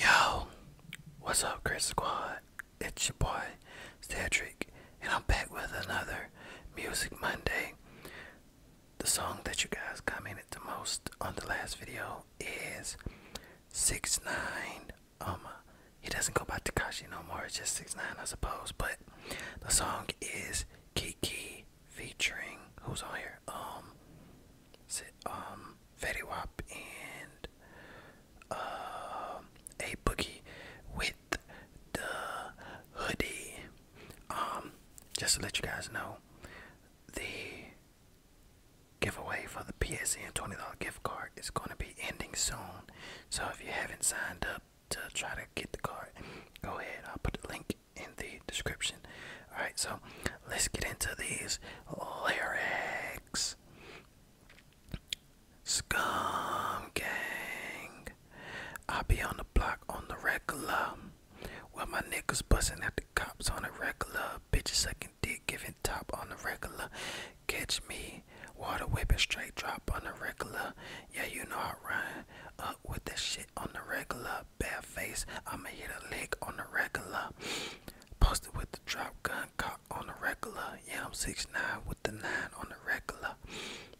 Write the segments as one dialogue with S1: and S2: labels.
S1: Yo, what's up, Chris Squad? It's your boy, Cedric, and I'm back with another Music Monday the song that you guys commented the most on the last video is six nine um he doesn't go by takashi no more it's just six nine i suppose but the song is kiki featuring who's on here um um Fetty Wap and uh, a boogie with the hoodie um, just to let you guys know, the giveaway for the PSN $20 gift card is going to be ending soon. So if you haven't signed up to try to get the card, go ahead. I'll put the link in the description. Alright, so let's get into these lyrics. Scum gang. I be on the block on the regular. Well, my niggas bustin' at the cops on the regular. Bitches sucking dick, giving top on the regular. Catch me, water whipping straight drop on the regular. Yeah, you know I run up with that shit on the regular. Bad face, I'ma hit a lick on the regular. Posted with the drop gun cock on the regular. Yeah, I'm six nine with the 9 on the regular.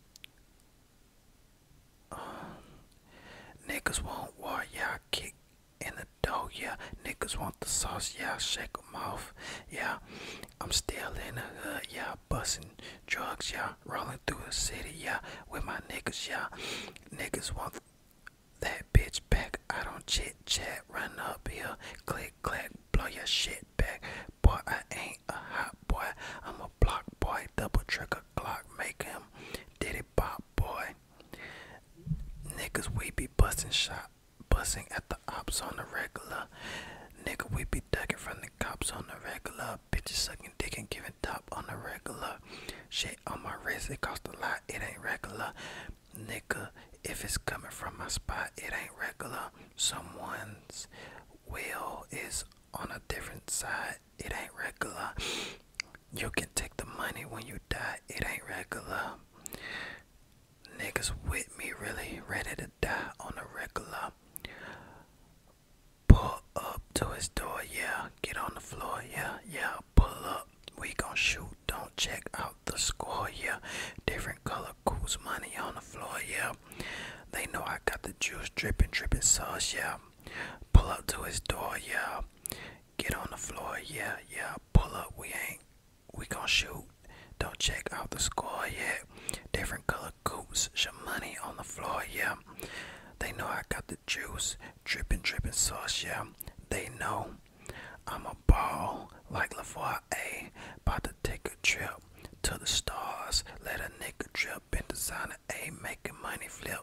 S1: niggas want war, yeah, I kick in the dough, yeah. Niggas want the sauce, yeah, I shake 'em off, yeah. I'm still in the hood, yeah, bustin' drugs, y'all rolling through the city, y'all with my niggas, yeah. Niggas want that bitch back, I don't chit chat, run up here, click, clack, blow your shit Boy, I ain't a hot boy. I'm a block boy. Double trigger clock. Make him did it pop boy. Niggas, we be busting shot. Bussing at the ops on the regular. Nigga, we be ducking from the cops on the regular. Bitches sucking dick and giving top on the regular. Shit on my wrist, it cost a lot, it ain't regular. Nigga, if it's coming from my spot, it ain't regular. Someone's will is on a different side. It ain't regular. You can take the money when you die. It ain't regular. Niggas with me really ready to die on a regular. Pull up to his door, yeah. Get on the floor, yeah, yeah. Pull up we gonna shoot. Don't check out the score, yeah. Different color coots, money on the floor, yeah. They know I got the juice dripping, dripping sauce, yeah. Pull up to his door, yeah. Get on the floor, yeah, yeah. Pull up, we ain't, we gonna shoot. Don't check out the score yeah. Different color coots, your money on the floor, yeah. They know I got the juice, dripping, dripping sauce, yeah. They know I'm a ball like LaVar A. About to take a trip to the stars. Let a nigga drip in designer A, making money flip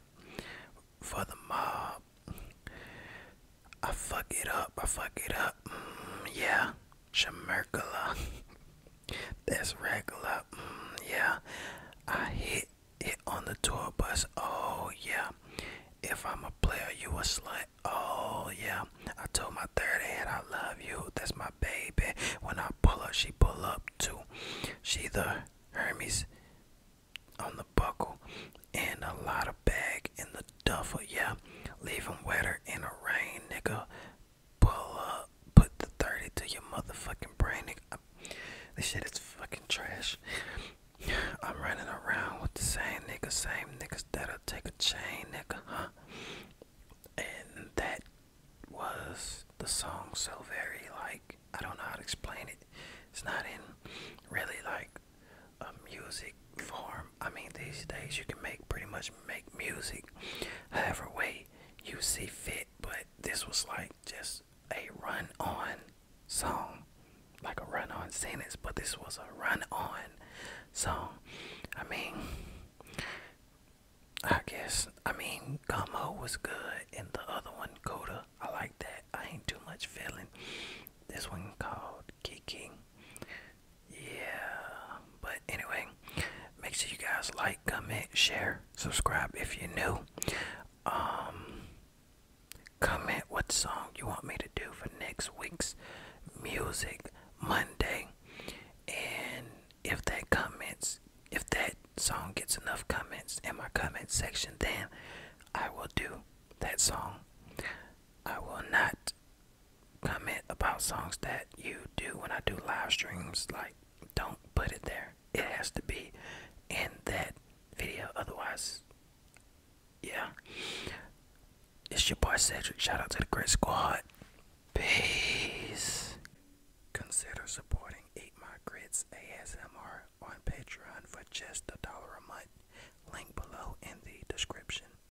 S1: for the mob. I fuck it up, I fuck it up. Mm, yeah, Shamerkula. That's regular. Mm, yeah, I hit it on the tour bus. Oh yeah. If I'm a player, you a slut. Oh yeah. I told my third hand I love you. That's my baby. When I pull up, she pull up too. She the Hermes on the buckle and a lot of bag in the duffel. Yeah. Leave 'em wetter in the rain, nigga. Pull up. Put the 30 to your motherfucking brain, nigga. This shit is fucking trash. I'm running around with the same niggas, same niggas that'll take a chain, nigga, huh? And that was the song so very like I don't know how to explain it. It's not in really like a music form. I mean these days you can make pretty much make music however way you see fit, but this was like just a run on song, like a run on sentence, but this was a run on song. I mean, I guess, I mean, Gummo was good, and the other one, Coda, I like that. I ain't too much feeling. This one called Kicking. Yeah, but anyway, make sure you guys like, comment, share, subscribe if you're new. Um, comment what song you want me to do for next week's music Monday, and if that comments, if that song gets enough comments in my comments section, then I will do that song. I will not comment about songs that you do when I do live streams. Like, don't put it there. It has to be in that video. Otherwise, yeah. It's your boy Cedric. Shout out to the Great Squad. Peace. Consider supporting Eight My Grits ASMR on Patreon for just a dollar a month. Link below in the description.